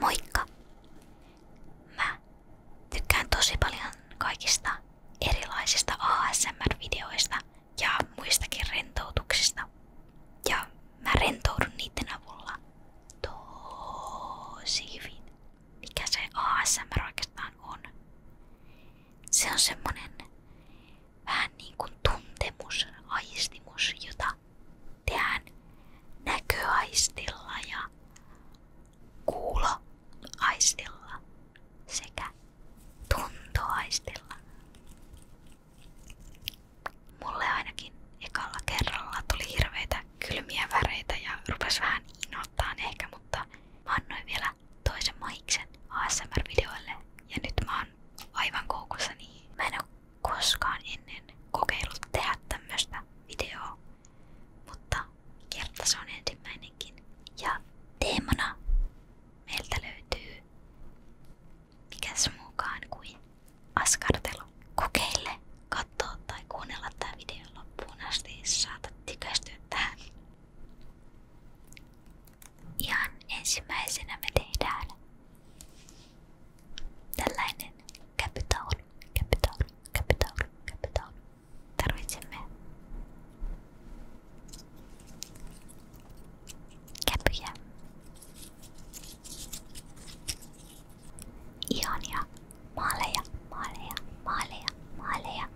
Moikka! Mä tykkään tosi paljon kaikista erilaisista ASMR-videoista ja muistakin rentoutuksista. Ja mä rentoudun niiden avulla tosi hyvin mikä se ASMR oikeastaan on. Se on semmonen vähän niin kuin tuntemus, aistimus, jota tehdään näköaistilla ja kuuloaistilla sekä tuntoaistilla. Mulle ainakin ekalla kerralla tuli hirveitä kylmiä väreitä ja rupes vähän inottaan ehkä, mutta mä annoin vielä toisen maiksen ASMR-videoille ja nyt mä oon aivan koukussa, niin mä en oo koskaan ennen kokeillut tehdä tämmöstä videoa, mutta kerta se on ensimmäinenkin. Ja teemana meiltä löytyy mikäs muukaan kuin askartelu. Kokeile katsoa tai kuunnella tämä video loppuun asti, saatat tykästyä tähän. Ihan ensimmäisenä me tehdään tällainen käpytaulu, käpytaulu, käpytaulu, käpytaulu. Tarvitsemme käpyjä. Ihania maaleja, maaleja, maaleja, maaleja.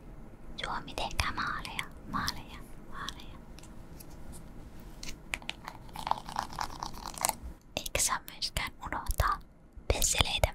Suomi tehkää maaleja, maaleja, maaleja. Eikä saa myöskään unohtaa pesseleitä.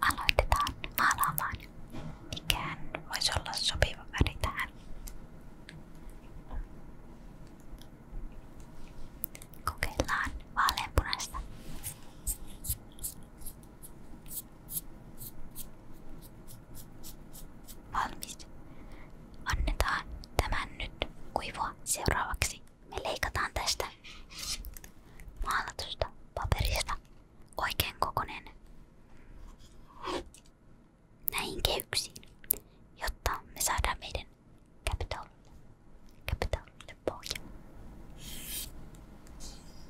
Aloitetaan maalaamaan. Ikään voisi olla sopiva väri tähän. Kokeillaan vaaleanpunaista. Valmis. Annetaan tämän nyt kuivua. Seuraavaksi me leikataan tästä maalatusta paperista oikein kokonen näihin kehyksiin, jotta me saadaan meidän capital, capital pohja.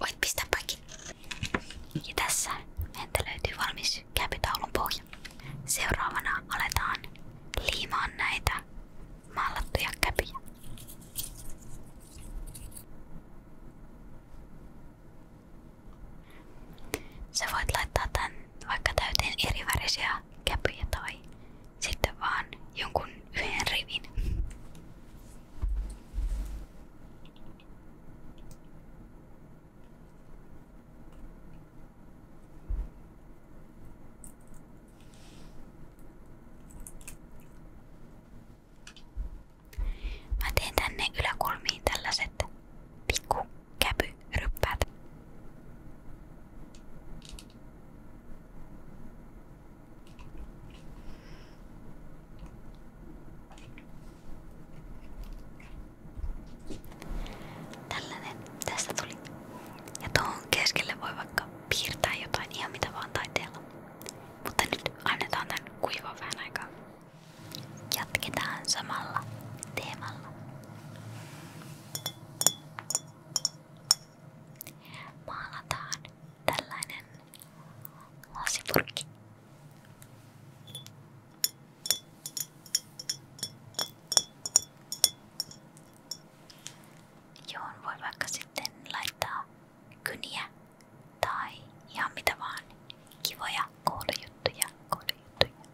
Voit pistää kaikki. Ja tässä meiltä löytyy valmis käpytaulun pohja. Seuraavana aletaan liimaan näitä mallattuja käpyjä. Sä voit laittaa tän vaikka täyteen eri värisiä käpyjä tai sitten vaan jonkun yhden rivin. Mä teen tänne yläkulmiin tällaiset pikku käpyryppäät. Tällainen tästä tuli. Ja tuohon keskelle voi vaikka piirtää jotain ihan mitä vaan taiteella. Mutta nyt annetaan tän kuivaa vähän aikaa. Jatketaan samalla teemalla maalataan tällainen lasipurkki. Johon voi vaikka sitten laittaa kyniä tai ihan mitä vaan kivoja koulujuttuja, koulujuttuja.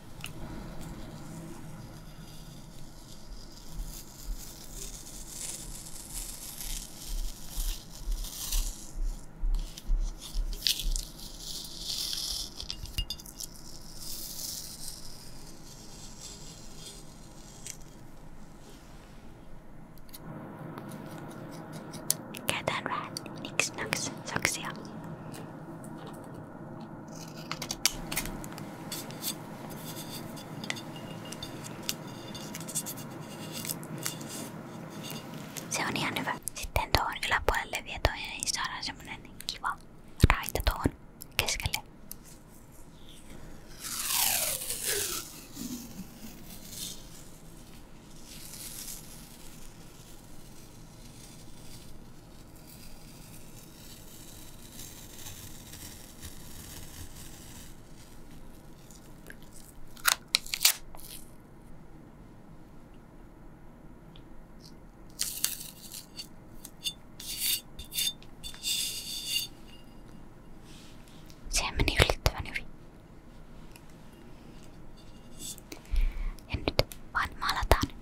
Get that right. Nix, nux, soxia. Se on ihan hyvä. Sitten tuohon yläpuolelle vie toinen, niin saadaan semmonen kiva raita tuohon keskelle. Se meni yllättävän hyvin. Ja nyt vaan malataan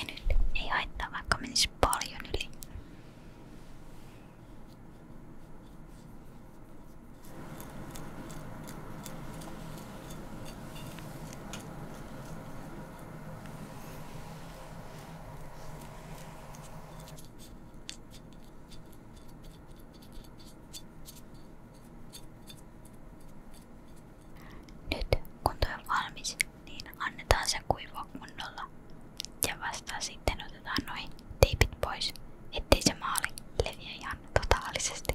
Ja nyt ei haittaa, vaikka menisi paljon yli. Nyt kun tuo on niin annetaan sen kuivua kunnolla ja vasta sitten otetaan noin teipit pois, ettei se maali leviä ihan totaalisesti.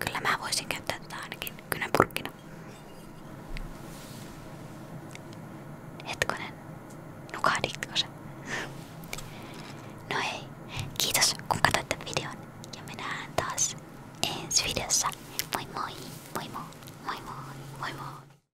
Kyllä mä voisin käyttää tätä ainakin kynäpurkkina. Hetkonen, nukahditko se? No hei, kiitos kun katsoitte videon ja me nähdään taas ensi videossa. Moi moi, moi moi, moi moi, moi moi.